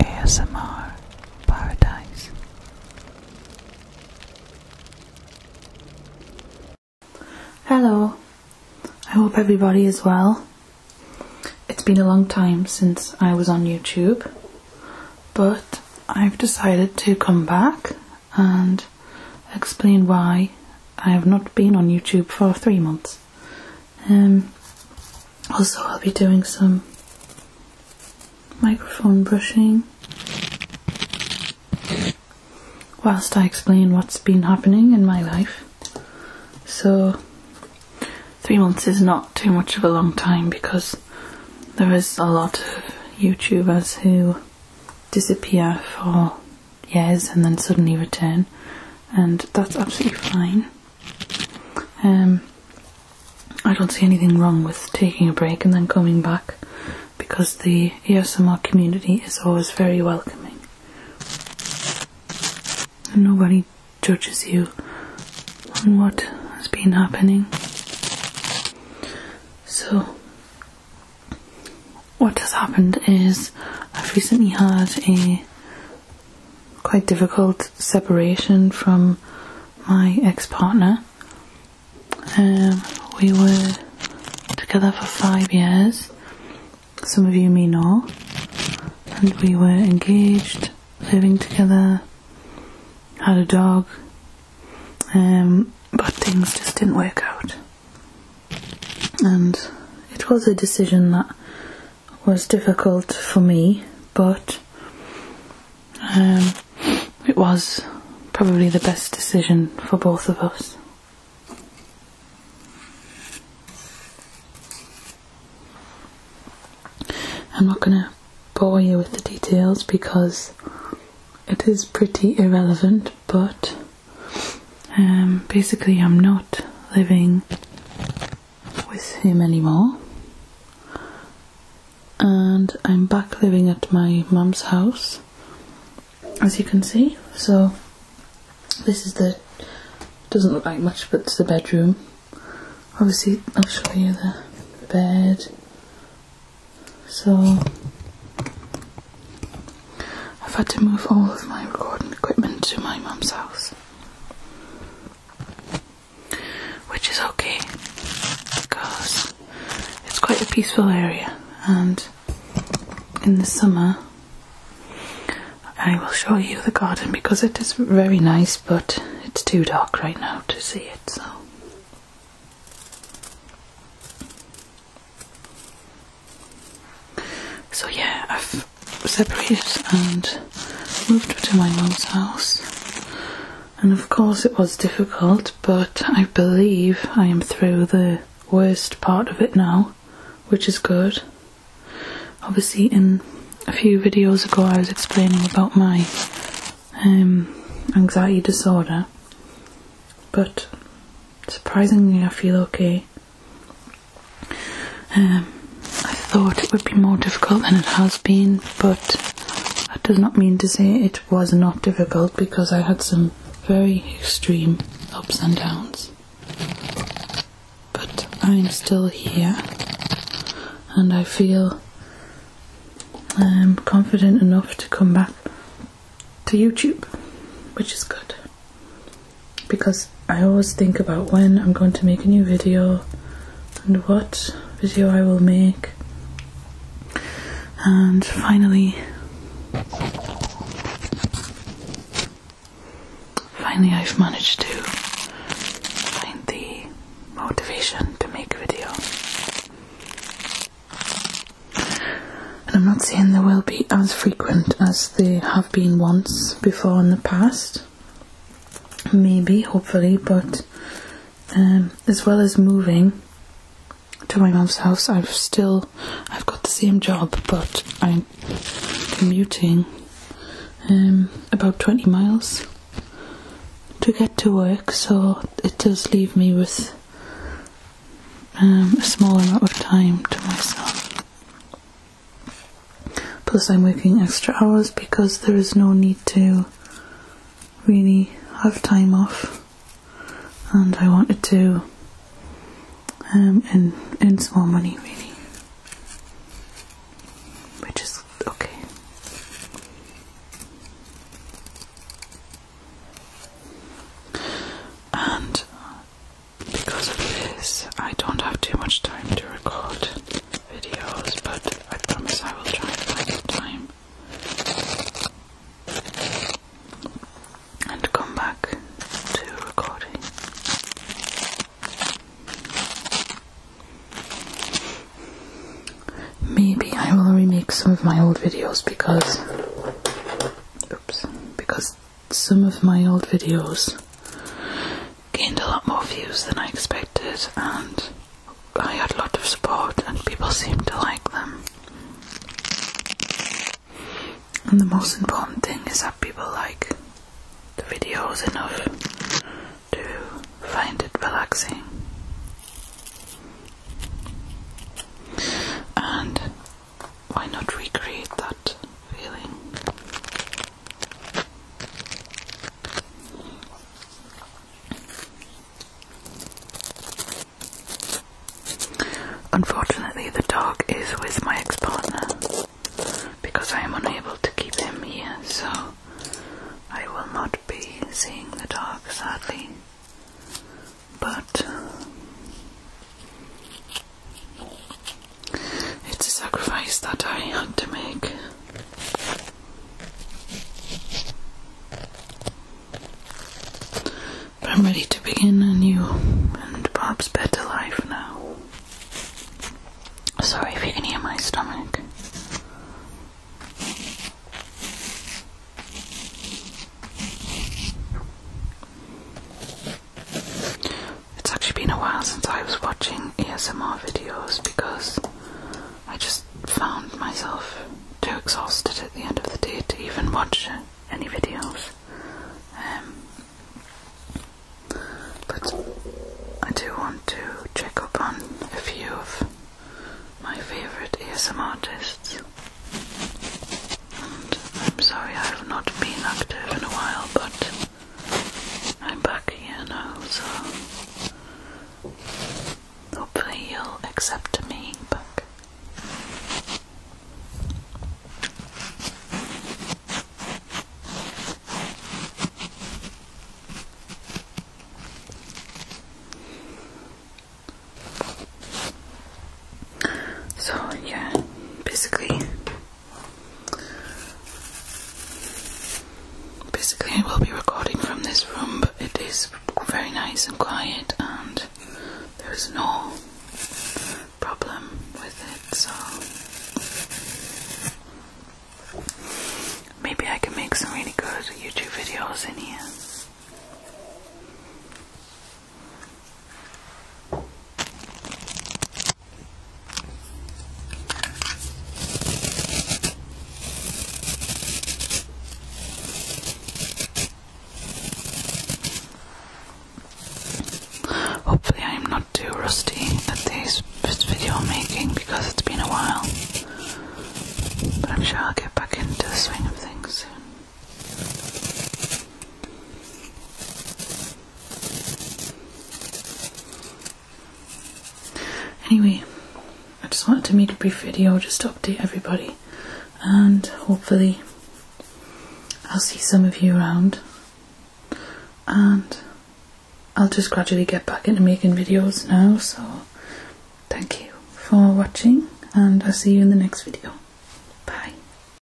ASMR Paradise. Hello, I hope everybody is well. It's been a long time since I was on YouTube, but I've decided to come back and explain why I have not been on YouTube for three months. Um, also, I'll be doing some microphone brushing whilst I explain what's been happening in my life. So, three months is not too much of a long time because there is a lot of YouTubers who disappear for years and then suddenly return, and that's absolutely fine. Um, I don't see anything wrong with taking a break and then coming back because the ESMR community is always very welcoming. nobody judges you on what has been happening. So, what has happened is I've recently had a quite difficult separation from my ex-partner. Um, we were together for five years. Some of you may know. And we were engaged, living together, had a dog, um, but things just didn't work out. And it was a decision that was difficult for me, but um, it was probably the best decision for both of us. I'm not going to bore you with the details because it is pretty irrelevant, but um, basically, I'm not living with him anymore. And I'm back living at my mum's house, as you can see. So this is the doesn't look like much, but it's the bedroom. Obviously, I'll show you the bed. So I've had to move all of my recording equipment to my mum's house. Which is okay because it's quite a peaceful area, and in the summer I will show you the garden because it is very nice, but it's too dark right now to see it. So so yeah, I've separated and moved to my mum's house. And of course it was difficult, but I believe I am through the worst part of it now, which is good. Obviously in a few videos ago I was explaining about my um, anxiety disorder, but surprisingly I feel okay. Um, I thought it would be more difficult than it has been, but that does not mean to say it was not difficult because I had some very extreme ups and downs. But I'm still here and I feel um, confident enough to come back to YouTube, which is good because I always think about when I'm going to make a new video and what video I will make. And finally, finally, I've managed to find the motivation to make a video. And I'm not saying there will be as frequent as they have been once before in the past. Maybe, hopefully, but um, as well as moving to my mom's house, I've still I've got the same job, but I'm commuting um, about 20 miles to get to work, so it does leave me with um, a small amount of time to myself. Plus, I'm working extra hours because there is no need to really have time off, and I wanted to um, earn, earn some more money, really, which is okay. And because of this, I don't have too much time to record videos, but I promise I will try and find the time and come back to recording. Maybe I will remake some of my old videos because oops because some of my old videos gained a lot more views than I expected, and I had a lot of support, and people seemed to like them. And the most important thing is that people like the videos enough to find it relaxing. And why not recreate that feeling? Unfortunately, the dog is with my ex partner because I am unable to keep him here, so I will not be seeing the dog sadly. But uh, it's a sacrifice that I had to make. But I'm ready to begin a new and perhaps better life now. Sorry if you can hear my stomach. It's actually been a while since I was watching ASMR videos because I just found myself too exhausted at the end of the day to even watch any videos. Um, but I do want to check up on a few of my favourite ASM artists. I'm sorry I have not been active in a while, but I'm back here now, so hopefully you'll accept me back. So, yeah, basically, Basically, I will be recording from this room, it is very nice and quiet, and there is no problem with it, so maybe I can make some really good YouTube videos in here. Hopefully, I'm not too rusty at this video making because it's been a while, but I'm sure I'll get back into the swing of things soon. Anyway, I just wanted to make a brief video just to update everybody, and hopefully, I'll see some of you around, and I'll just gradually get back into making videos now. So, thank you for watching, and I'll see you in the next video. Bye.